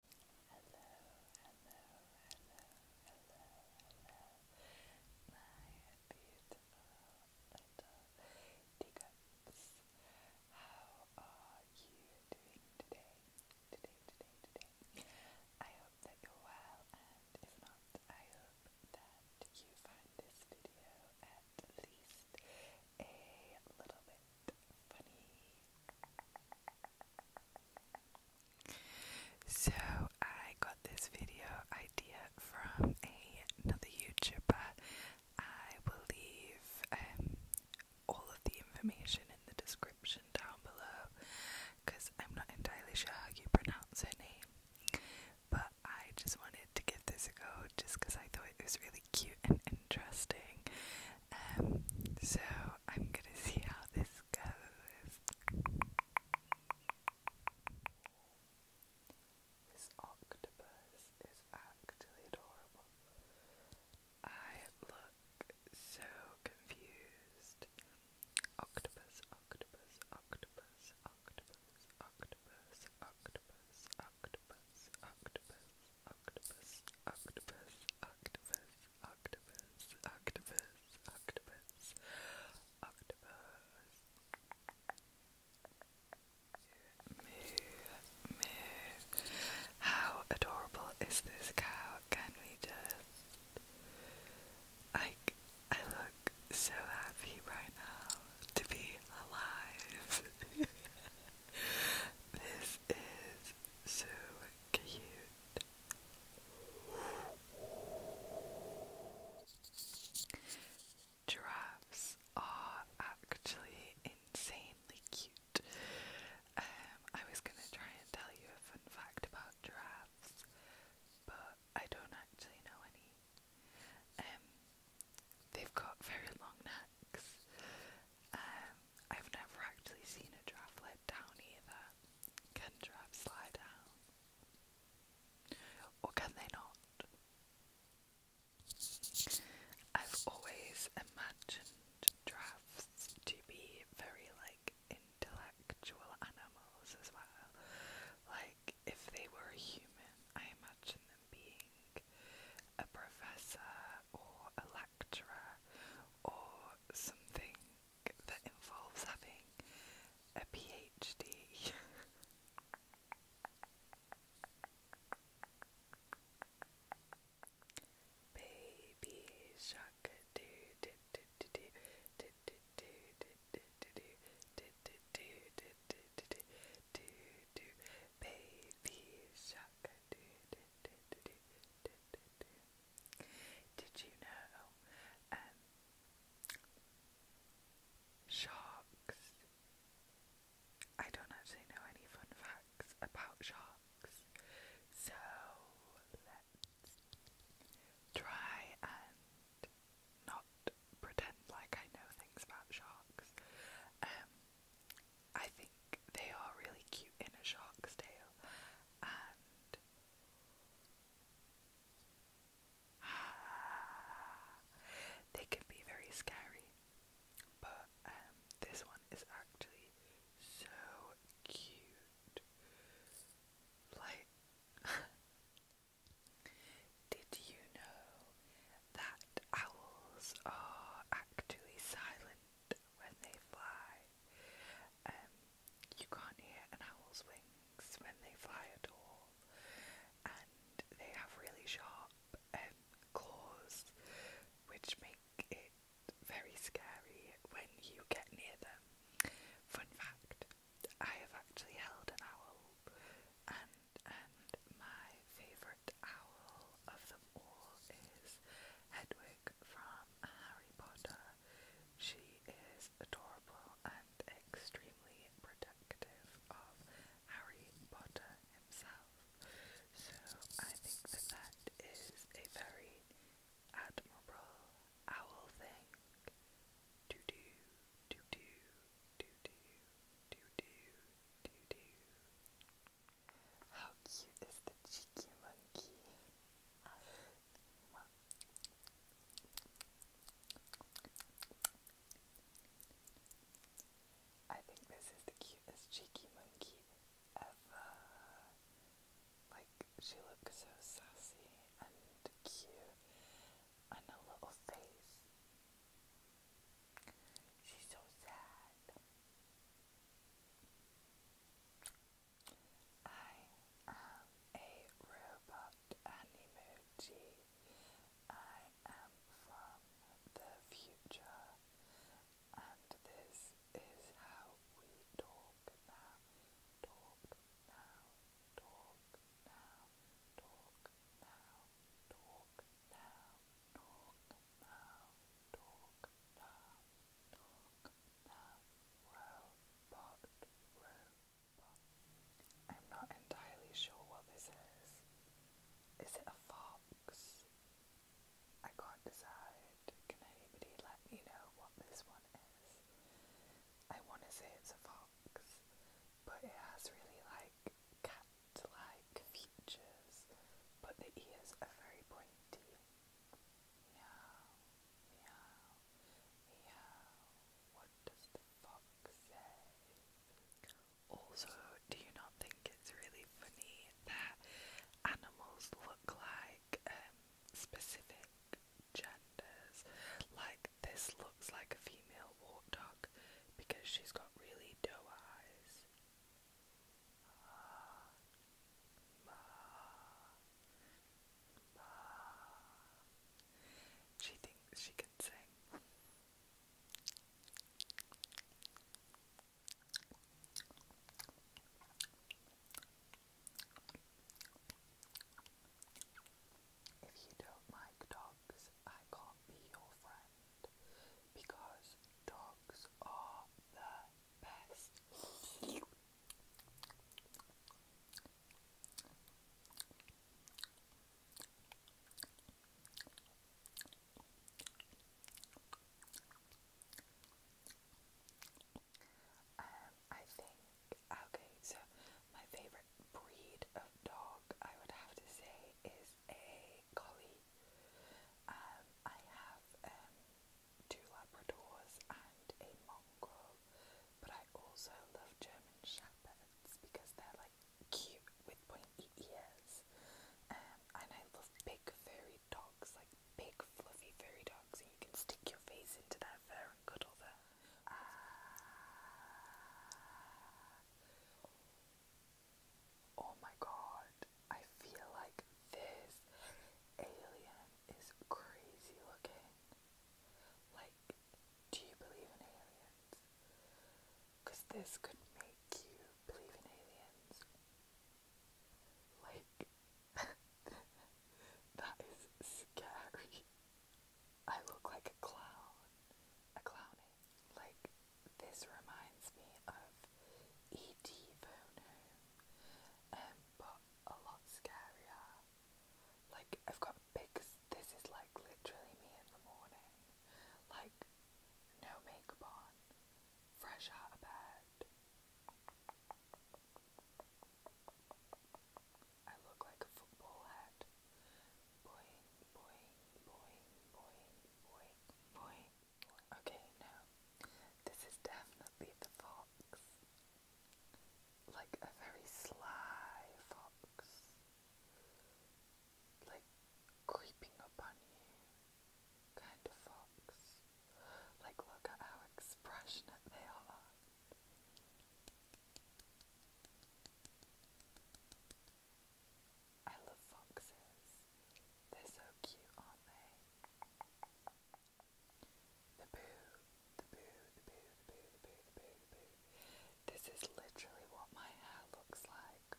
hello, hello, hello, hello, hello, my beautiful little teacups. How are you doing today? Today, today, today. I hope that you're well, and if not, I hope that you find this video at least a little bit funny. So I got this video idea from another YouTuber. I will leave um, all of the information in the description down below because I'm not entirely sure how you pronounce her name. But I just wanted to give this a go just because I thought it was really cute and interesting. Um, so I'm gonna see how this goes. This octopus is actually adorable. I look so confused. Octopus, octopus, octopus, octopus, octopus, octopus, octopus, octopus octopus, octopus, octopus, octopus, octopus, octopus, octopus. Moo, moo. How adorable is this cow? Can we just like I look so happy right now to be alive. this is so cute. Giraffes are actually insanely cute. Um, I was gonna try and tell you a fun fact about giraffes, but I don't actually know any. Um, they've got very long necks. Um, I've never actually seen a giraffe let down either. Can giraffes lie down? Or can they not? I've always imagined drafts to be very like intellectual animals as well. Like if they were a human, I imagine them being a professor or a lecturer or something that involves having a PhD. Baby shark do do do do do do do do do do do do do do do do baby shark do do do do do do do did you know um, sharks? I don't actually know any fun facts about sharks, so let's try and not pretend like I know things about sharks. Um, I think they are really cute in a shark's tail, and they can be very scary, but um, this one is actually so cute. Like, did you know that owls are actually silent when they fly? Um, you can't hear an owl's wings when they fly at all, and they have really sharp um, claws, which make it very scary when you get near them. Fun fact: I have actually held an owl, and and my favourite owl of them all is Hedwig. Hedwig from Harry Potter. She is adorable and extremely protective of Harry Potter himself. So I think that that is a very admirable owl thing to do, to do, to do, to do, to do. How cute is the cheeky monkey? I think this is the cutest cheeky monkey ever. Like, she looks so sassy and cute, and her little face. She's so sad. I am a robot and emoji. am from the future, and this is how we talk now. Talk now, talk now, talk now, talk now, talk now, talk now. Talk now dog, the robot, robot. I'm not entirely sure what this is. Is it a fox? I can't decide. Can anybody let me know what this one is? I want to say it's a fox, but it has really like cat like features, but the ears are very pointy. Meow, meow, meow. What does the fox say? Also, do you not think it's really funny that animals look like um, specific genders? Like, this looks like a female warthog because she's got really doe eyes. She thinks she can sing. If you don't like dogs, I can't be your friend because dogs are the best. Um, I think okay, so my favorite breed of dog I would have to say is a collie. Um, I have um two Labradors and a mongrel, but I also love German Shepherds because they're like cute with pointy ears, um, and I love big furry dogs, like big fluffy furry dogs, and you can stick your face into their fur and cuddle ah. Oh my god, I feel like this alien is crazy looking. Like, do you believe in aliens? Because this could make you believe in aliens. Like, that is scary. I look like a clown. A clowny. Like, this reminds me of E.T. Um, Phone a lot scarier. Like, I've got pics, this is like literally me in the morning. Like, no makeup on, fresh out of bed. I look like a football head. Boing, boing, boing, boing, boing, boing. Okay, no, this is definitely the fall fox, like a very sly fox, like creeping upon you kind of fox. Like, look at how expressionate they are. I love foxes. They're so cute, aren't they? The boo, the boo, the boo, the boo, the boo, the boo, the boo. This is literally what my hair looks like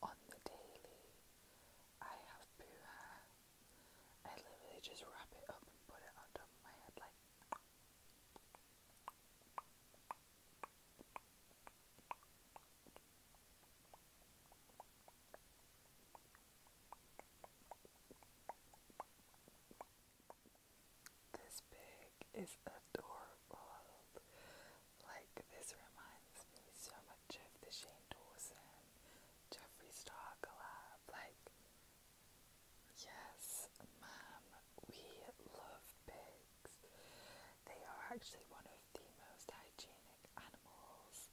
on the daily. I have boo hair. I literally just wrap it up and put it on top of my head like. This pig is adorable. Like, this reminds me so much of the Shane Dawson, Jeffree Star collab. Like, yes, ma'am, we love pigs. They are actually one of the most hygienic animals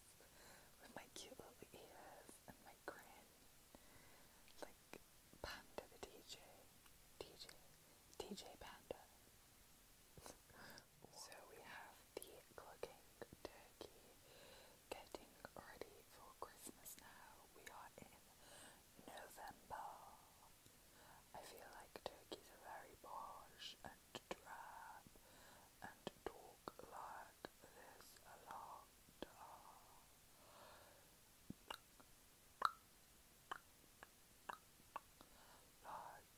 dressed with my cute little ears and my grin. Like Panda the DJ. DJ. DJ Panda. so we have the clucking turkey getting ready for Christmas now. We are in November. I feel like turkeys are very posh and drab and talk like this a lot like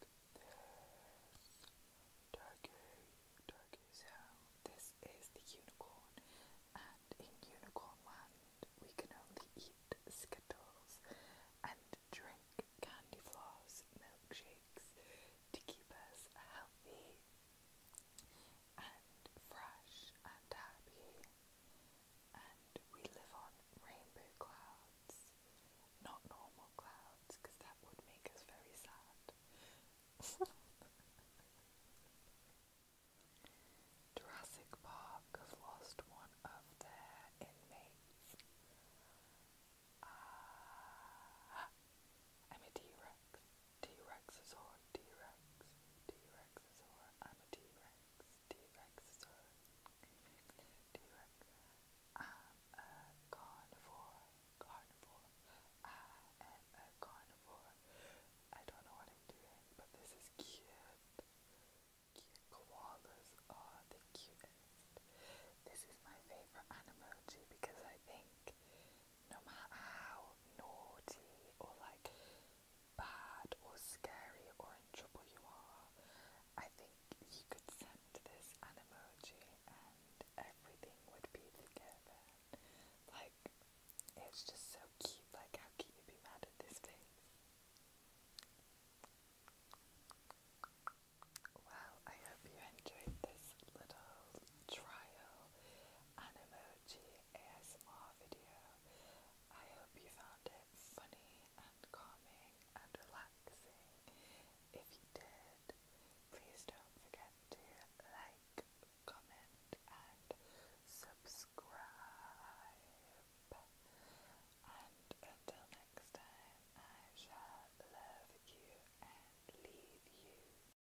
this turkey turkey so this is the unicorn and in unicorn land we can only eat skittles and drink candy milkshakes to keep us healthy and fresh and happy, and we live on rainbow clouds, not normal clouds, that would make us very sad. Jurassic Park have lost one of their inmates. Uh, I'm a T Rex. T-Rexosaur, T-Rex, T-Rexosaur, I'm a T-Rex, T-Rexosaur, T-Rex, I'm a carnivore, carnivore, I am a carnivore, I don't know what I'm doing, but this is cute, cute koalas are the cutest, this is my favorite animal too because I think no matter how naughty or like bad or scary or in trouble you are, I think you could send this emoji and everything would be together. Like, it's just so cute. Like, how can you be mad at this thing? Well, I hope you enjoyed this little trial emoji GSM video. I hope you found it funny and calming and relaxing. If you did, please don't forget to like, comment, and subscribe. And until next time, I shall love you and leave you.